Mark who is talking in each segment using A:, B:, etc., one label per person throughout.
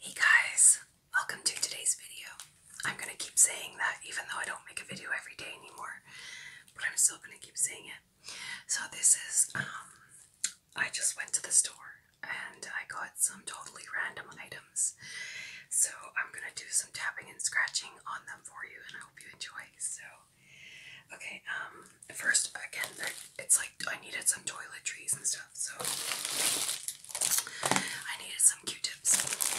A: Hey guys, welcome to today's video. I'm gonna keep saying that even though I don't make a video every day anymore, but I'm still gonna keep saying it. So this is um, I just went to the store and I got some totally random items. So I'm gonna do some tapping and scratching on them for you and I hope you enjoy. So okay, um, at first, again, it's like I needed some toiletries and stuff, so I needed some Q-tips.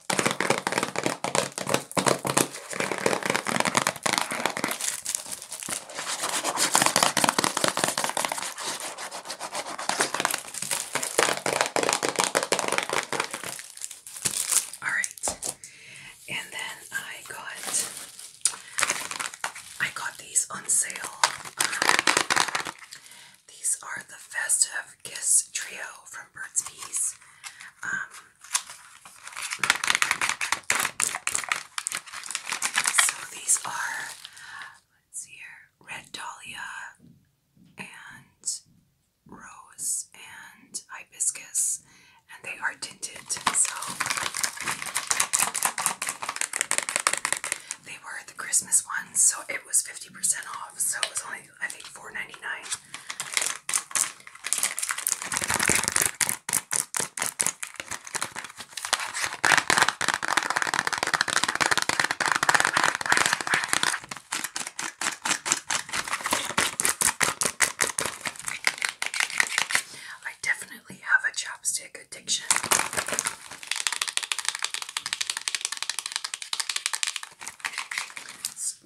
A: All right, and then I got I got these on sale. Um, these are the Festive Kiss Trio from Burt's Bees. So these are, let's see here, red dahlia and rose and hibiscus, and they are tinted. So they were the Christmas ones, so it was 50% off. So it was only, I think, four ninety nine. I definitely have a chopstick addiction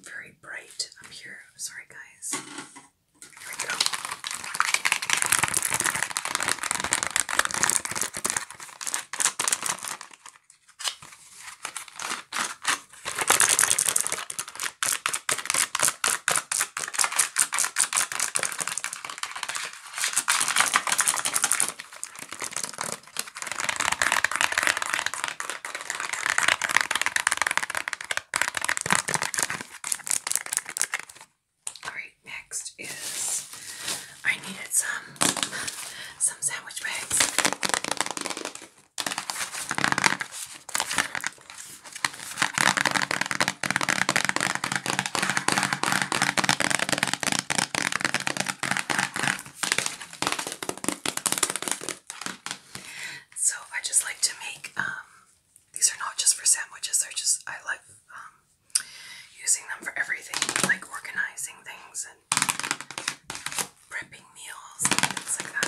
A: very bright up here. sorry, guys. Here we go. Alright, next is I needed some some sandwich bags. So I just like to make um, these are not just for sandwiches, they're just I like um, using them for everything, like organizing things and prepping meals and things like that.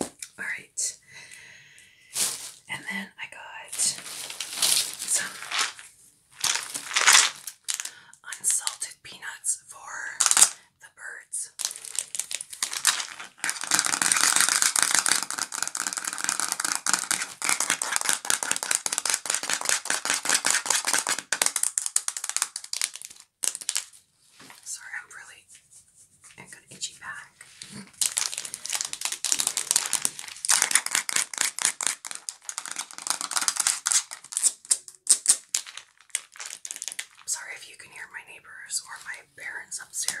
A: All right. And then I got some unsalted peanuts for the birds. Sorry, I'm really. I've got itchy back. Sorry if you can hear my neighbors or my parents upstairs.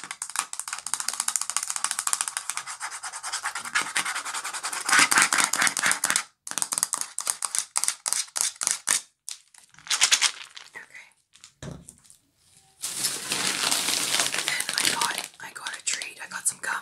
A: Okay. Then I got I got a treat. I got some gum.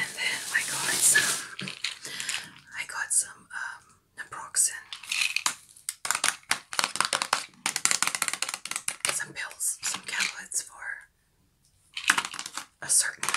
A: And then I got some I got some um naproxen. Some pills, some tablets for a certain time.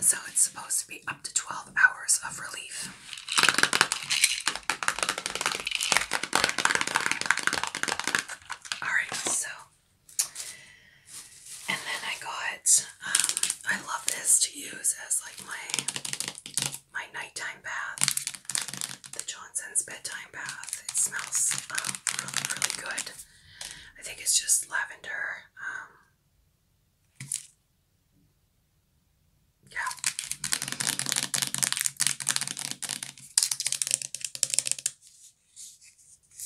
A: So it's supposed to be up to 12 hours of relief. All right, so and then I got, um, I love this to use as like my my nighttime bath, the Johnson's bedtime bath. It smells um, really, really good. I think it's just lavender. Um, yeah.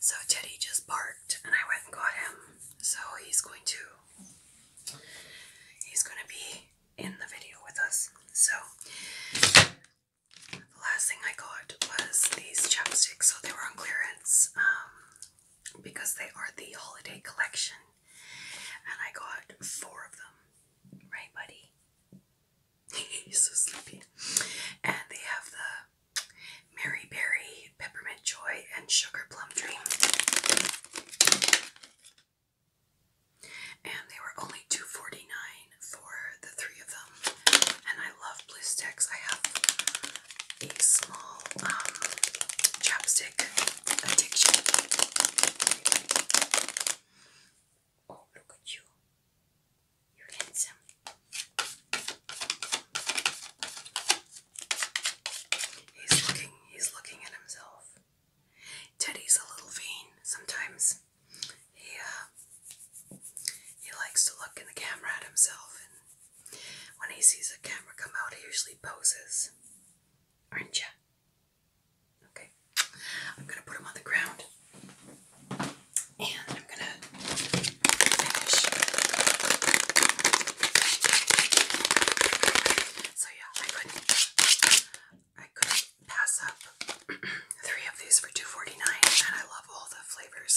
A: So Teddy just barked and I went and got him. So he's going to he's gonna be in the video with us. So the last thing I got was these chopsticks. So they were on clearance um, because they are the holiday collection. And I got four of them. Right, buddy? He's so sleepy. And they have the Mary Berry, Peppermint Joy, and Sugar Plum Dream. And they were only 2 for the three of them. And I love blue I have a small um, chapstick addiction. Oh, look at you. you handsome. He's looking, he's looking at himself. Teddy's a little vain sometimes. He, uh, he likes to look in the camera at himself, and when he sees a camera come out, he usually poses. Aren't you? Okay, I'm gonna put them on the ground and I'm gonna finish. So yeah, I couldn't I couldn't pass up three of these for 2 and I love all the flavors.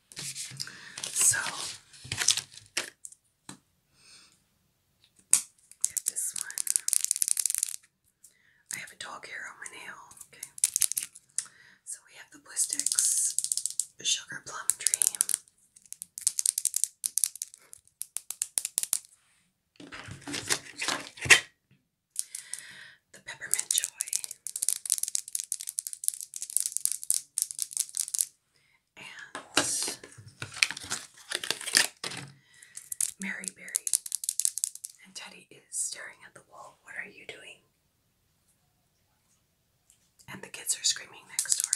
A: So this one. I have a dog hair on my nail. Okay. So we have the Blistix Sugar Plum Dream. The Peppermint Joy and Mary Berry. And Teddy is staring at the wall. What are you doing? And the kids are screaming next door.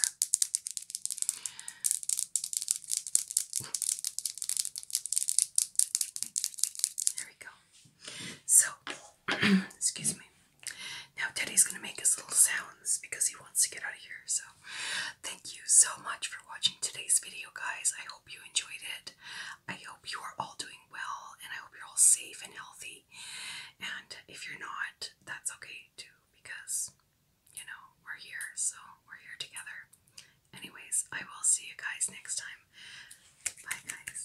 A: There we go. So Excuse me. Now Teddy's gonna make his little sounds because he wants to get out of here. So thank you so much for watching today's video, guys. I hope you enjoyed it. I hope you are all doing well and I hope you're all safe and healthy. And if you're not, that's okay too, because you know, we're here, so we're here together. Anyways, I will see you guys next time. Bye guys.